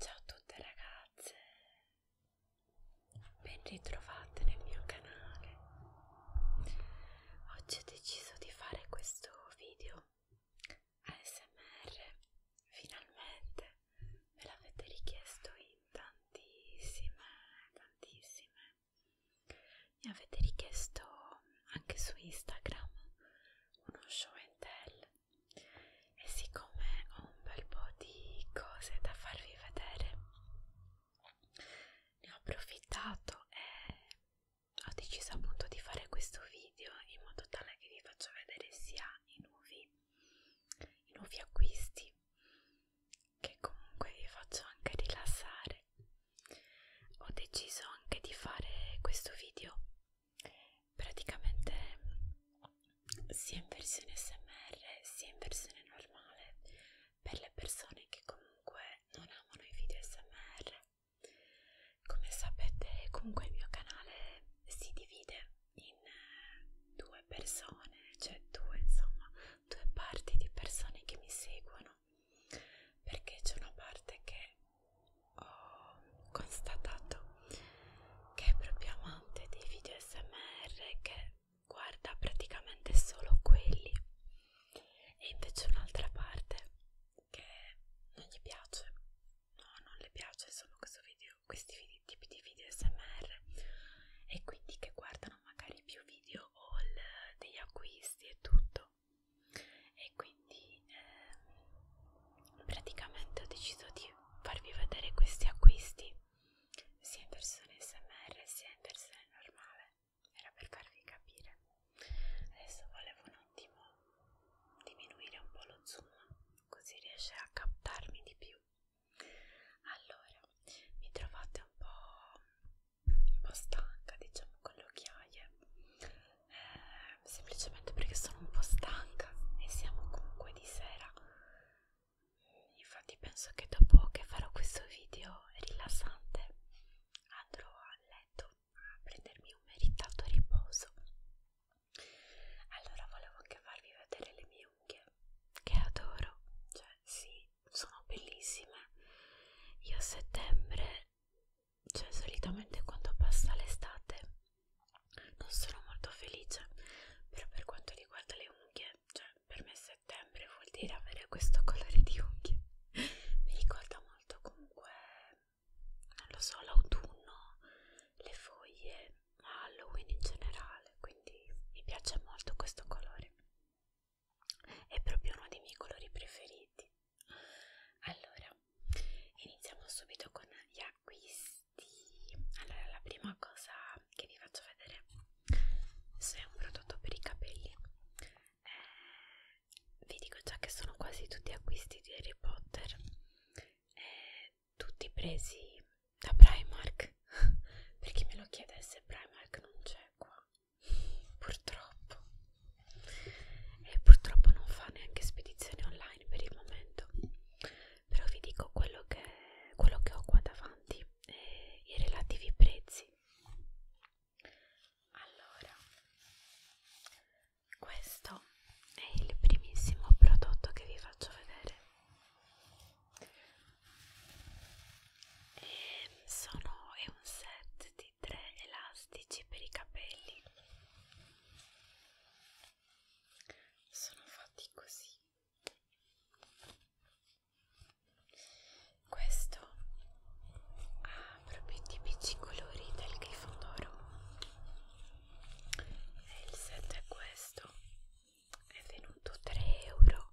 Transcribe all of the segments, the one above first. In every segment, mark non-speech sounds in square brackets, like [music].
Ciao a tutte ragazze, ben ritrovate nel mio canale. Oggi ho deciso di fare questo video ASMR, finalmente me l'avete richiesto in tantissime, tantissime. Mi avete richiesto anche su Instagram uno show and tell e siccome ho un bel po' di cose da farvi vedere ne ho approfittato e ho deciso appunto di fare questo video in modo tale che vi faccio vedere sia i nuovi, i nuovi acquisti che comunque vi faccio anche rilassare ho deciso anche di fare questo video praticamente sia in versione smr sia in versione normale per le persone che comunque non amano i video smr come sapete comunque il mio canale si divide in eh, due persone cioè due insomma due parti di persone che mi seguono perché c'è una parte che ho constatato che è proprio amante dei video smr che guarda praticamente solo quelli e invece un'altra parte che non gli piace no non le piace sono video, questi video, tipi di video smr e quindi che guardano magari più video haul degli acquisti e tutto e quindi quindi ehm, praticamente ho deciso di farvi vedere questi acquisti sia in versione smr sia in versione normale era per farvi capire adesso volevo un attimo diminuire un po' lo zoom così riesce a captarmi di più allora mi trovate un po', un po stanca diciamo con le occhiaie eh, semplicemente perché sono un po' stanca e siamo comunque di sera infatti penso che dopo che farò questo video rilassante andrò a letto a prendermi un meritato riposo allora volevo anche farvi vedere le mie unghie che adoro cioè sì sono bellissime io a settembre cioè solitamente quando passa l'estate non sono molto felice però per quanto riguarda le unghie cioè per me settembre vuol dire avere questo colore di unghie mi ricorda molto comunque non lo so l'autunno le foglie ma Halloween in generale quindi mi piace molto questo colore è proprio uno dei miei colori preferiti allora iniziamo subito con gli acquisti allora la prima cosa che vi faccio vedere se è un prodotto per i capelli eh, vi dico già che sono quasi tutti acquisti di Harry Potter eh, tutti presi da Primark [laughs] per chi me lo chiedesse Primark non c'è qua purtroppo e purtroppo non fa neanche spedizioni online per il momento però vi dico quello che, quello che ho qua davanti e i relativi prezzi allora questo è il primissimo prodotto che vi faccio vedere e sono, è un set di questi tre elastici per i capelli sono fatti così questo ha proprio i tipici colori del grifondoro e il set è questo è venuto 3 euro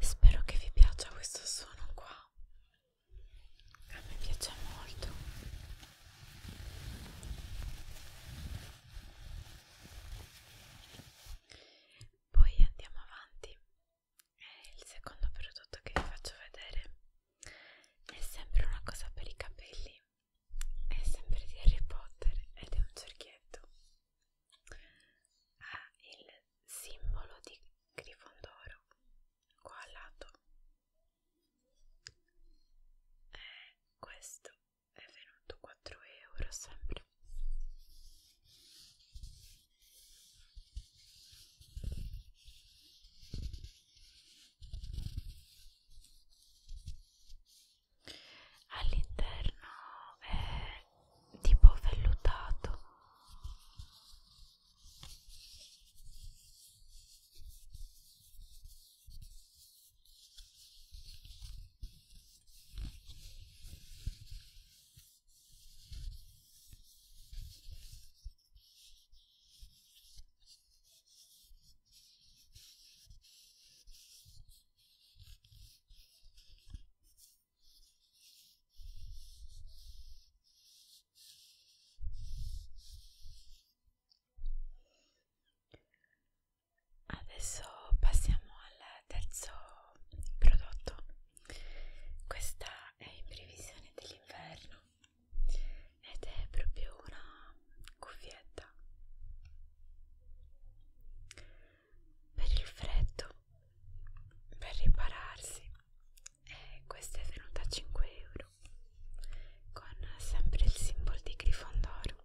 Spero che vi piaccia questo suono qua. A me piace molto. Poi andiamo avanti e eh, il secondo prodotto che vi faccio vedere è sempre una cosa per i capelli, è sempre di Harry Potter ed è un cerchietto. Ha il simbolo di Grifondoro qua al lato. E eh, questo è venuto 4 euro sempre all'interno è tipo vellutato Adesso passiamo al terzo prodotto questa è in previsione dell'inverno ed è proprio una cuffietta per il freddo, per ripararsi. E eh, questa è venuta a 5 euro con sempre il simbolo di Grifondoro.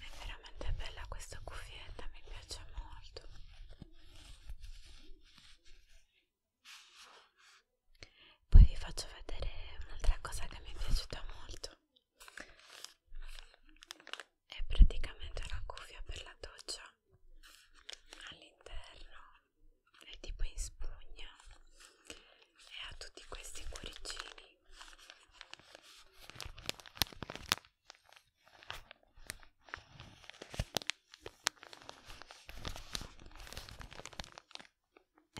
È veramente bella questa cuffietta, mi piace molto. Poi vi faccio vedere un'altra cosa che mi è piaciuta molto. È praticamente una cuffia per la doccia all'interno, è tipo in spugna e ha tutti questi cuoricini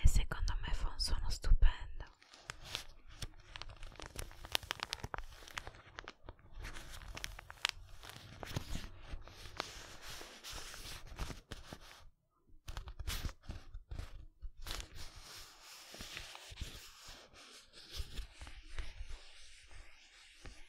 e secondo me fa un suono stupendo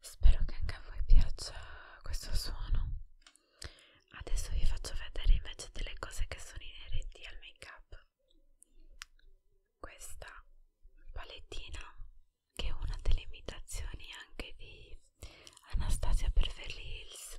Spero che anche a voi piaccia questo suono. Adesso vi faccio vedere invece delle cose che sono inerenti al make up. Questa palettina che è una delle imitazioni anche di Anastasia Beverly Hills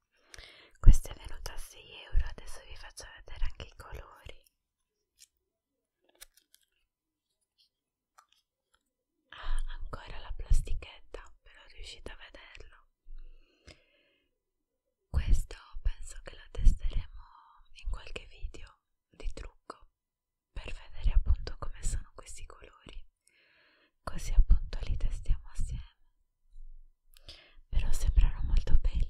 Questa è venuta a 6 euro, adesso vi faccio vedere anche i colori. Ah, ancora la plastichetta, però riuscite a vederlo. Questo penso che lo testeremo in qualche video di trucco per vedere appunto come sono questi colori. Così appunto li testiamo assieme però sembrano molto belli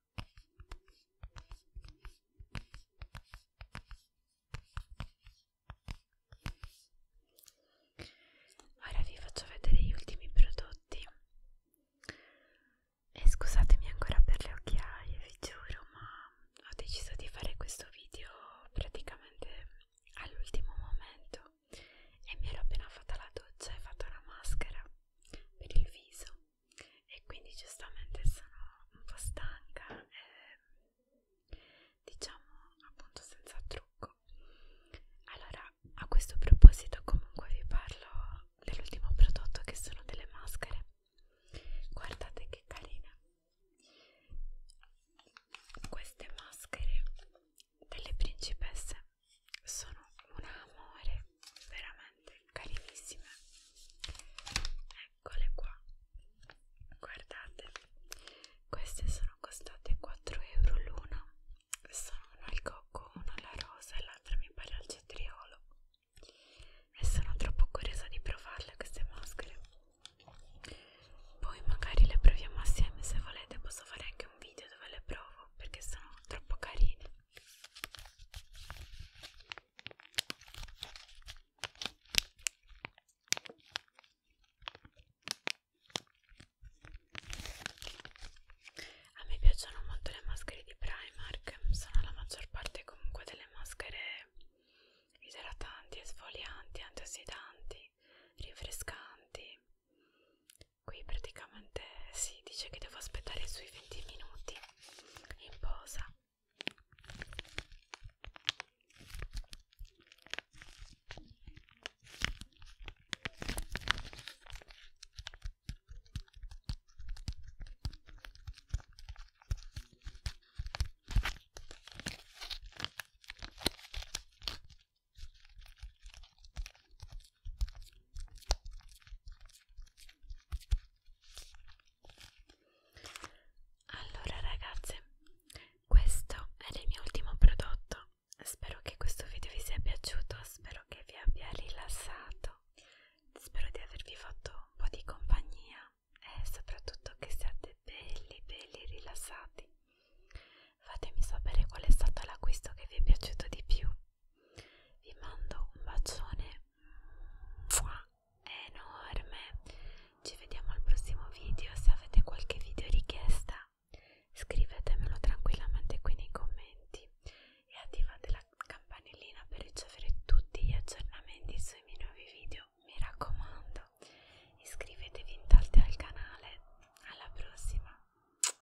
Ora vi faccio vedere gli ultimi prodotti e scusatemi ancora per le occhiaie, vi giuro, ma ho deciso di fare questo video praticamente all'ultimo momento e mi ero appena fatta la doccia e fatta una maschera per il viso e quindi giustamente sono un po' stanca e, ehm, diciamo appunto senza trucco allora a questo proposito comunque vi parlo dell'ultimo prodotto che sono delle maschere guardate che carine queste maschere delle principesse sono un amore veramente carinissime eccole qua guardate queste sono costate 4 euro l'una sono una al cocco una alla rosa e l'altra mi pare al cetriolo e sono troppo curiosa di provarle queste maschere poi magari le proviamo assieme se volete posso fare anche un video dove le provo perché sono troppo carine a me piacciono molto le maschere di Primark, sono la maggior parte comunque delle maschere idratanti, esfolianti, antiossidanti, rinfrescanti qui praticamente si dice che devo aspettare sui 20 minuti in posa allora ragazze, questo è il mio ultimo prodotto. Spero che questo video vi sia piaciuto, spero che vi abbia rilassato, spero di avervi fatto un po' di compagnia e soprattutto che siate belli, belli rilassati. Fatemi sapere qual è stato l'acquisto che vi è piaciuto di più vi mando un bacione enorme ci vediamo al prossimo video se avete qualche video richiesta scrivetemelo tranquillamente qui nei commenti e attivate la campanellina per ricevere tutti gli aggiornamenti sui miei nuovi video mi raccomando iscrivetevi intanto al canale alla prossima